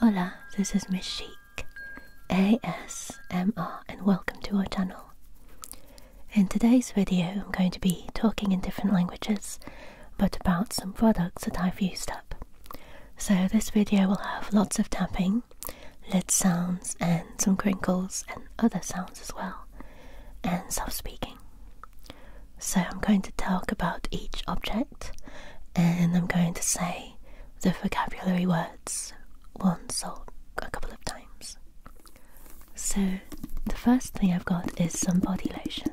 Hola, this is Miss Chic, ASMR, and welcome to our channel. In today's video, I'm going to be talking in different languages, but about some products that I've used up. So this video will have lots of tapping, lid sounds, and some crinkles, and other sounds as well, and soft speaking. So I'm going to talk about each object and I'm going to say the vocabulary words once or a couple of times. So the first thing I've got is some body lotion.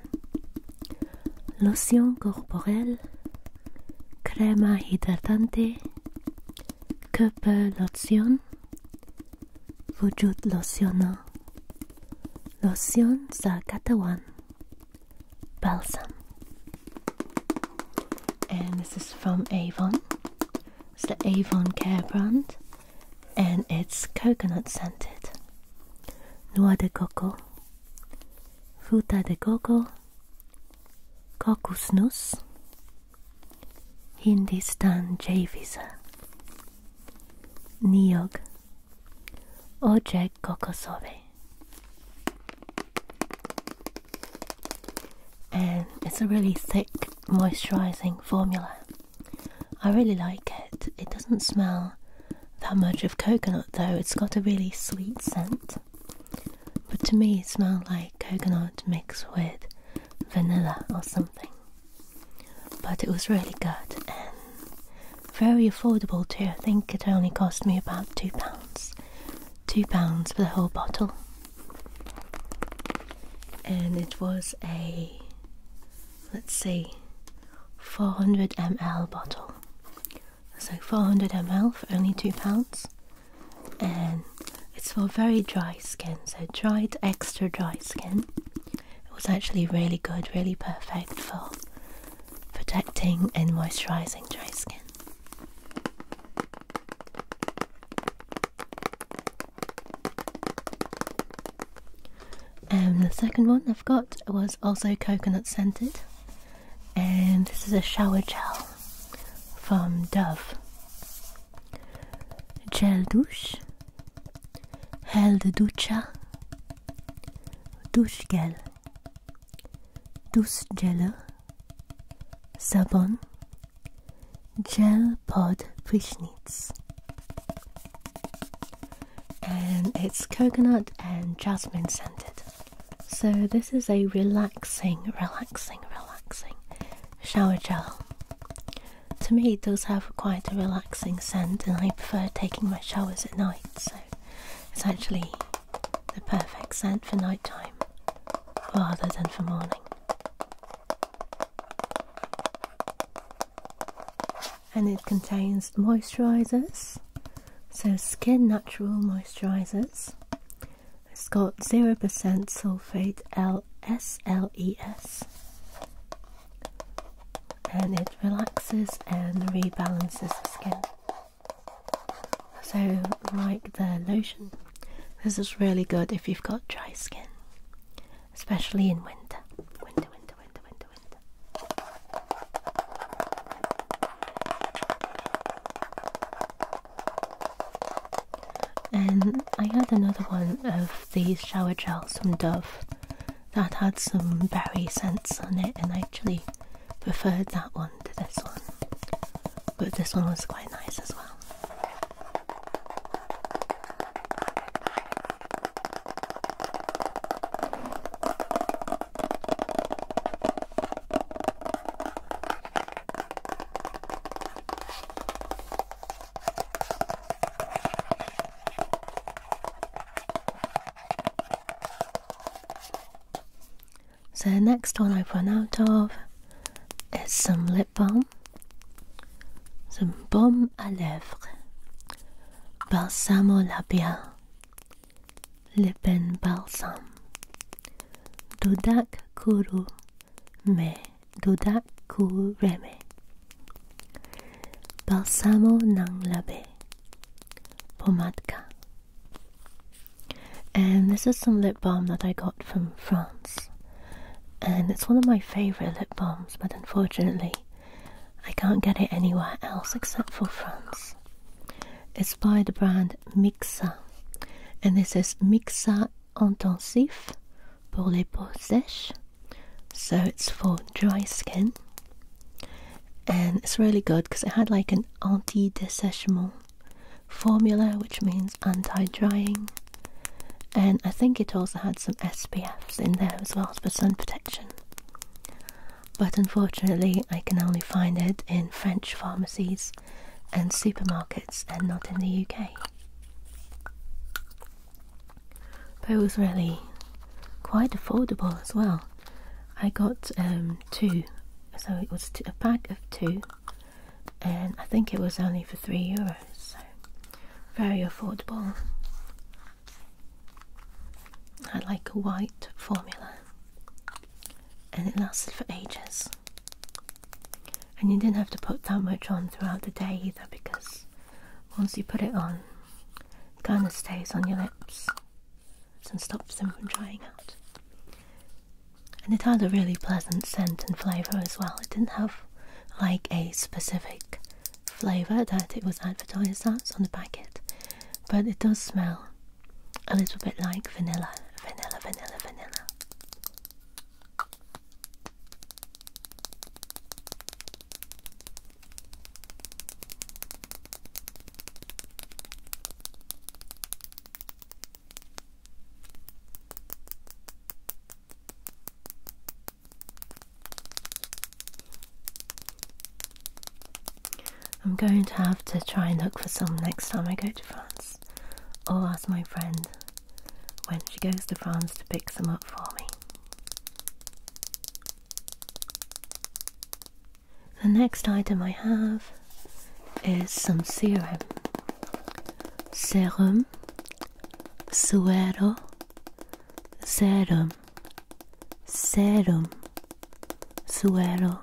Lotion corporelle, crema hidratante, Körper lotion, wujud lotiona, lotion sa katawan, balsam and this is from Avon it's the Avon care brand and it's coconut scented noix de coco fruta de coco kokosnuss Hindistan J Visa Niyog Oje Kokosobe. And it's a really thick moisturizing formula. I really like it. It doesn't smell that much of coconut though, it's got a really sweet scent. But to me, it smelled like coconut mixed with vanilla or something. But it was really good, and very affordable too. I think it only cost me about two pounds. Two pounds for the whole bottle. And it was a let's see 400 ml bottle. So 400 ml for only two pounds. And it's for very dry skin, so dried extra dry skin. It was actually really good, really perfect for protecting and moisturizing dry skin. And the second one I've got was also coconut scented, and this is a shower gel from Dove Gel Douche held ducha, duschgel, duschgele, sabon, gel pod prishnitz. And it's coconut and jasmine scented. So this is a relaxing, relaxing, relaxing shower gel. To me, it does have quite a relaxing relaxing scent, and I prefer taking my showers at night, so it's actually the perfect scent for nighttime rather than for morning. And it contains moisturizers, so skin natural moisturizers. It's got 0% sulfate LSLES and it relaxes and rebalances the skin. So, like the lotion, this is really good if you've got dry skin, especially in winter. Winter, winter, winter, winter, winter. And I had another one of these shower gels from Dove that had some berry scents on it, and I actually preferred that one to this one. But this one was quite nice as well. So the next one I've run out of is some lip balm, some balm à lèvres, balsamo labial, lip and balsam, Dodak Kuru Me, Dodak Kureme, Balsamo ng labi. Pomade, And this is some lip balm that I got from France. And it's one of my favourite lip balms, but unfortunately, I can't get it anywhere else except for France. It's by the brand Mixa. And this is Mixa Intensif pour les peaux sèches so it's for dry skin and it's really good because it had like an anti-dessèchement formula which means anti-drying and I think it also had some SPFs in there as well for sun protection but unfortunately I can only find it in French pharmacies and supermarkets and not in the UK but it was really quite affordable as well. I got um, two, so it was a pack of two, and I think it was only for three euros, so very affordable. I like a white formula, and it lasted for ages. And you didn't have to put that much on throughout the day either because once you put it on, it kind of stays on your lips and stops them from drying out. And it had a really pleasant scent and flavour as well. It didn't have like a specific flavour that it was advertised as on the packet, but it does smell a little bit like vanilla, vanilla, vanilla, vanilla. I'm going to have to try and look for some next time I go to France or ask my friend when she goes to France to pick some up for me. The next item I have is some serum. Serum, suero, serum, serum, suero,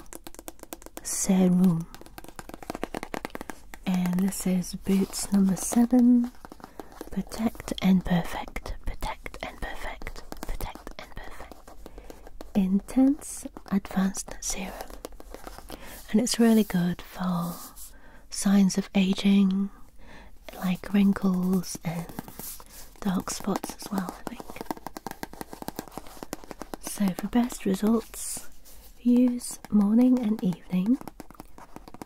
serum. And this is Boots number seven Protect and perfect, protect and perfect, protect and perfect. Intense Advanced Serum. And it's really good for signs of aging, like wrinkles and dark spots as well, I think. So for best results, use morning and evening evening.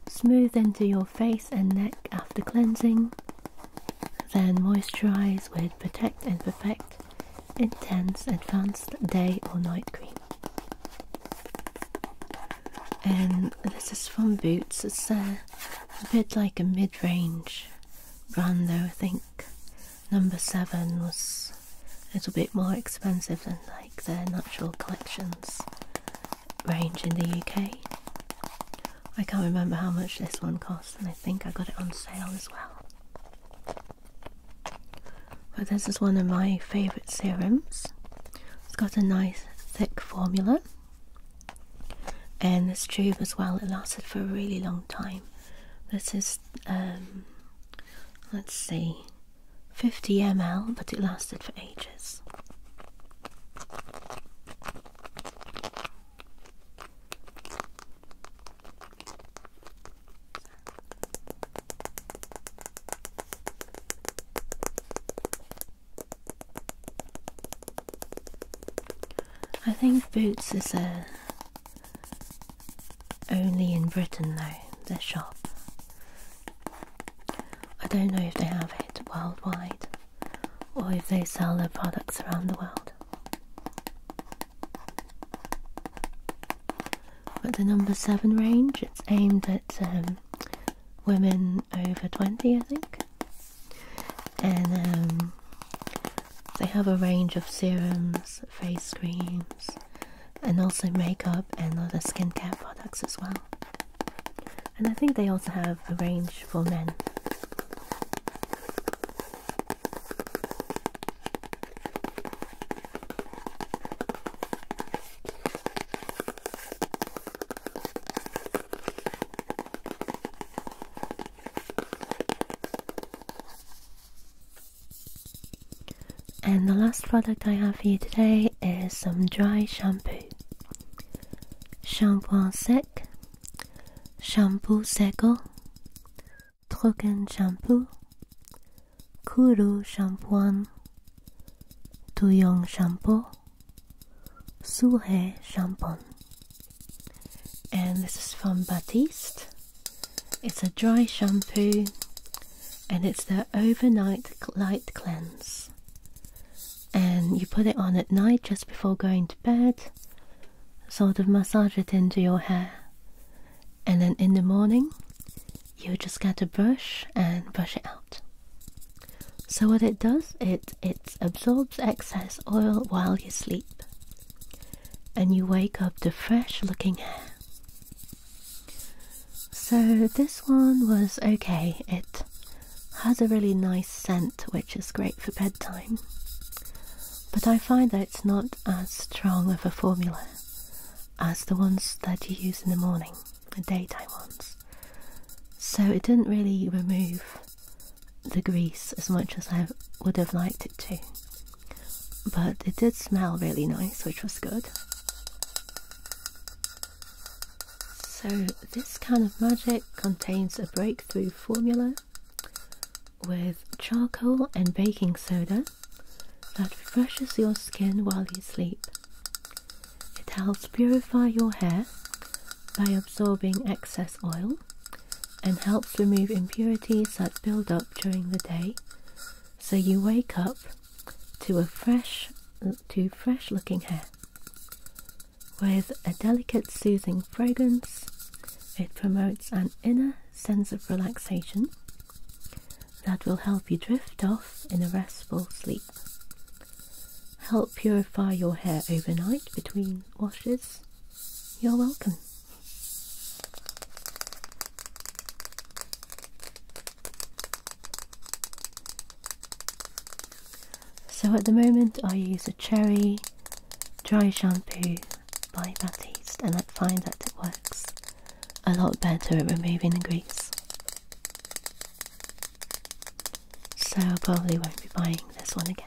Smooth into your face and neck after cleansing. Then moisturize with Protect and Perfect Intense Advanced Day or Night Cream. And this is from Boots. It's a, a bit like a mid range brand, though. I think number seven was a little bit more expensive than like their natural collections range in the UK. I can't remember how much this one cost, and I think I got it on sale as well. But this is one of my favourite serums. It's got a nice thick formula, and this tube as well. It lasted for a really long time. This is, um, let's see, 50 ml, but it lasted for ages. I think Boots is a uh, only in Britain though, the shop. I don't know if they have it worldwide or if they sell their products around the world. But the number 7 range, it's aimed at um, women over 20, I think. And um, they have a range of serums, face creams, and also makeup and other skincare products as well. And I think they also have a range for men. And the last product I have for you today is some dry shampoo. Shampoo sec, shampoo seco, trocken shampoo, kuru shampoing, tuyong shampoo, suhe shampoo. And this is from Batiste. It's a dry shampoo and it's the overnight light cleanse and you put it on at night just before going to bed sort of massage it into your hair and then in the morning you just get a brush and brush it out so what it does it it absorbs excess oil while you sleep and you wake up to fresh looking hair so this one was okay. It has a really nice scent, which is great for bedtime. But I find that it's not as strong of a formula as the ones that you use in the morning, the daytime ones. So it didn't really remove the grease as much as I would have liked it to. But it did smell really nice, which was good. So, this kind of magic contains a breakthrough formula with charcoal and baking soda that refreshes your skin while you sleep. It helps purify your hair by absorbing excess oil and helps remove impurities that build up during the day so you wake up to a fresh to fresh looking hair. With a delicate soothing fragrance, it promotes an inner sense of relaxation that will help you drift off in a restful sleep. Help purify your hair overnight between washes. You're welcome. So at the moment I use a cherry dry shampoo by Batiste and I find that it works a lot better at removing the grease. So I probably won't be buying this one again.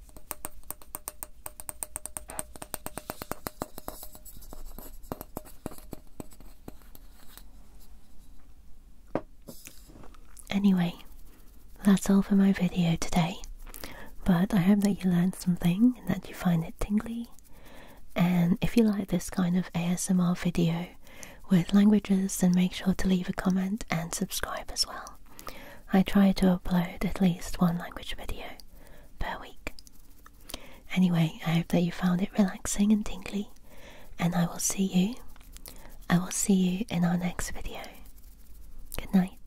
Anyway, that's all for my video today, but I hope that you learned something and that you find it tingly. And if you like this kind of ASMR video with languages, then make sure to leave a comment and subscribe as well. I try to upload at least one language video per week. Anyway, I hope that you found it relaxing and tingly, and I will see you. I will see you in our next video. Good night.